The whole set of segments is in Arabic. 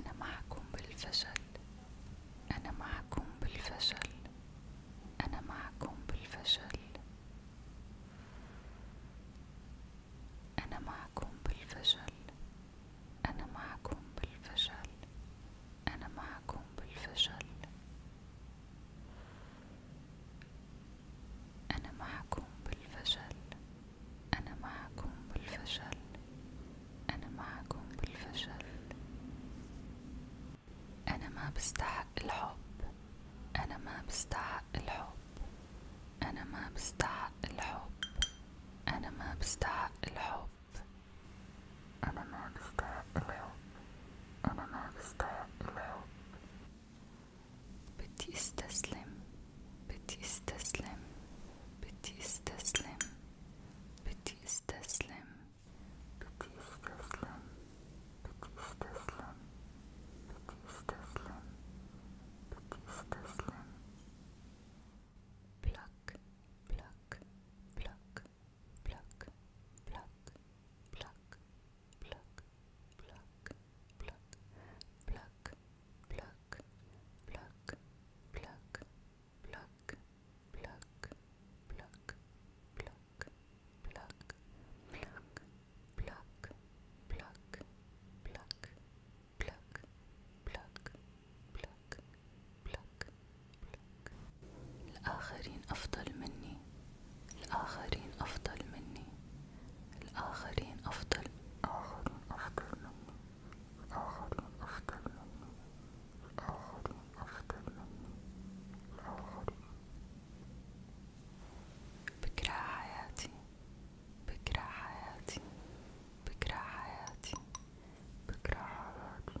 أنا معكم بالفشل أنا معكم بالفشل أنا معكم بالفشل أنا معكم بالفشل أنا معكم بالفشل أنا معكم بالفشل أنا معكم بالفشل أنا معكم بالفشل أنا معكم بالفشل أنا ما بستحق الحب أنا ما بستحق الحب أنا ما بستحق الحب أنا ما بستحق الحب أنا ما بستحق الحب أنا ما بستحق الحب بتيستسلم بتيستسلم بتيستسلم بتيستسلم بتيستسلم بتيستسلم بتيستسلم بتيستسلم pluck pluck pluck pluck pluck pluck pluck, pluck, pluck, pluck, pluck, pluck, pluck, pluck, pluck, pluck, pluck, pluck, pluck, pluck, pluck, pluck, pluck, pluck, pluck, pluck. الآخرين أفضل مني الآخرين أفضل مني الآخرين أفضل آخرين أفضل مني الآخرين أفضل مني الآخرين أفضل مني الآخرين بكره حياتي بكره حياتي بكره حياتي بكره حياتي بكره حياتي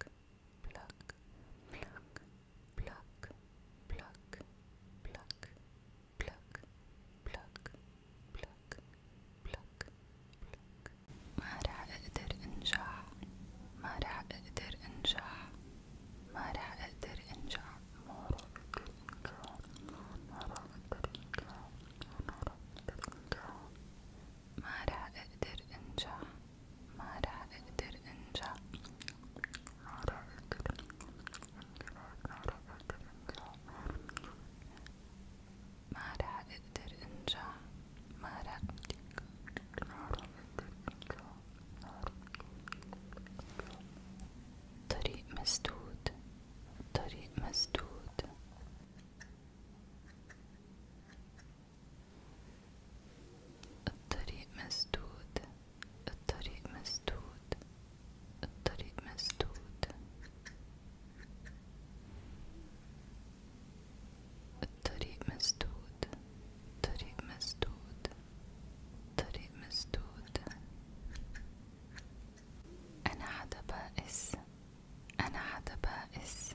بلاك بلاك بلاك بلاك بلاك بلاك بلاك بلاك بلاك بلاك ما رح اقدر انجح ما رح اقدر انجح ما رح اقدر انجح ما رح اقدر انجح ما رح اقدر انجح ما رح اقدر انجح ما رح اقدر انجح ما راح اقدر انجح ما راح اقدر ما راح اقدر انجح ما راح اقدر انجح ما راح اقدر انجح طريق مسدود طريق مسدود الطريق مسدود الطريق مسدود الطريق مسدود الطريق مسدود الطريق مسدود الطريق مسدود أنا حدا بائس أنا حدا بائس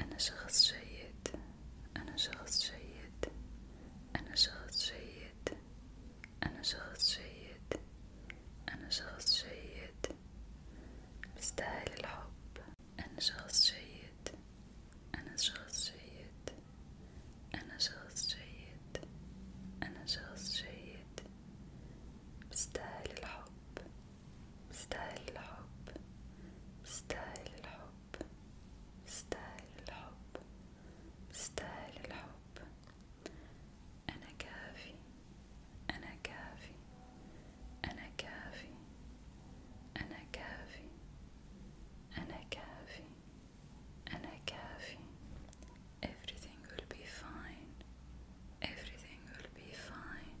أنا شخص جيد أنا شخص جيد أنا شخص جيد أنا شخص جيد أنا شخص جيد بستاهل الحب أنا شخص جيد أنا شخص جيد أنا شخص جيد أنا شخص جيد بستاهل الحب مستاهل الحب مستاهل الحب مستاهل الحب مستاهل الحب أنا كافي أنا كافي أنا كافي أنا كافي أنا كافي أنا كافي everything will be fine everything will be fine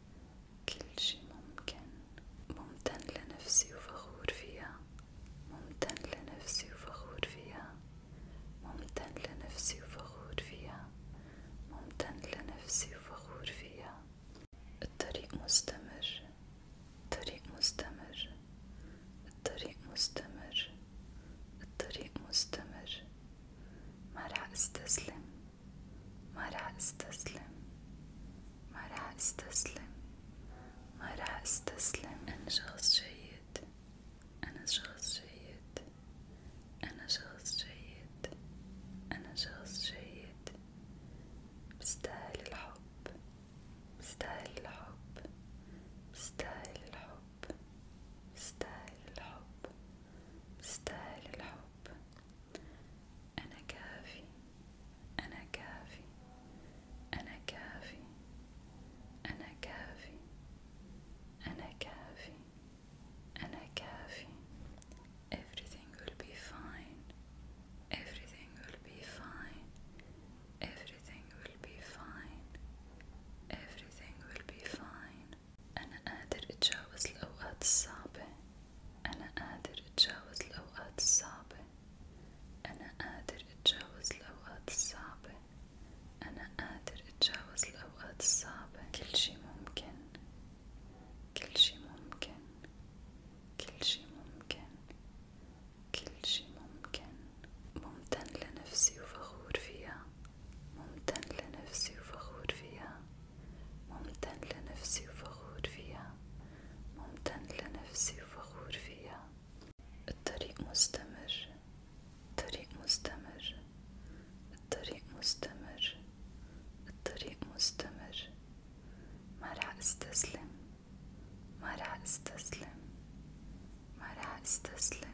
كل شي ممكن ممتن لنفسي وفخور فيها ممتن لنفسي وفخور فيها ممتن لنفسي وفخور فيها ممتن لنفسي وفخور فيها الطريق مستمر الطريق مستمر الطريق مستمر الطريق مستمر ما رح استسلم ما راح استسلم ما راح استسلم ما راح استسلم أنا شخص جيد أنا شخص جيد أنا شخص جيد أنا شخص جيد بستاهل الحب بستاهل الحب بستاهل الحب بستاهل الحب مستاهل الحب أنا كافي أنا كافي أنا كافي أنا كافي أنا كافي أنا كافي Everything will be fine Everything will be fine Everything will be fine Everything will be fine أنا قادر أتجاوز الأوقات الصعبة أنا قادر أتجاوز الأوقات الصعبة أنا قادر أتجاوز الأوقات الصعبة أنا قادر أتجاوز الأوقات الصعبة كل شي ممكن كل شي ممكن كل شي ممكن كل شي ممكن ممتن لنفسي وفخور فيها ممتن لنفسي وفخور فيها ممتن لنفسي وفخور فيها ممتن لنفسي وفخور فيها الطريق مستمر الطريق مستمر الطريق مستمر الطريق مستمر ما رح استسلم ما رح استسلم ما رح استسلم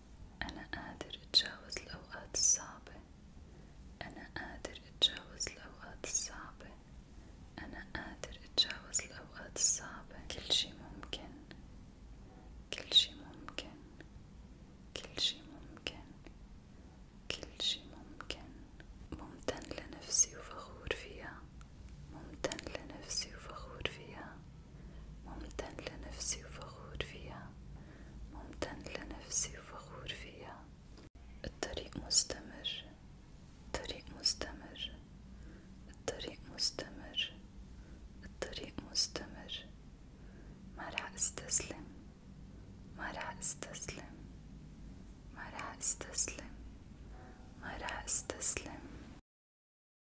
أنا قادر أتجاوز الأوقات الصعبة أنا قادر أتجاوز الأوقات الصعبة أنا قادر أتجاوز الأوقات الصعبة كل شي ممكن كل شي ممكن كل شي ممكن كل شي ممكن ممتن لنفسي وفخور فيها ممتن لنفسي وفخور فيها ممتن لنفسي وفخور فيها ممتن لنفسي وفخور فيها الطريق مستمر الطريق مستمر الطريق مستمر الطريق مستمر ما رح استسلم ما رح استسلم ما رح استسلم ما رح استسلم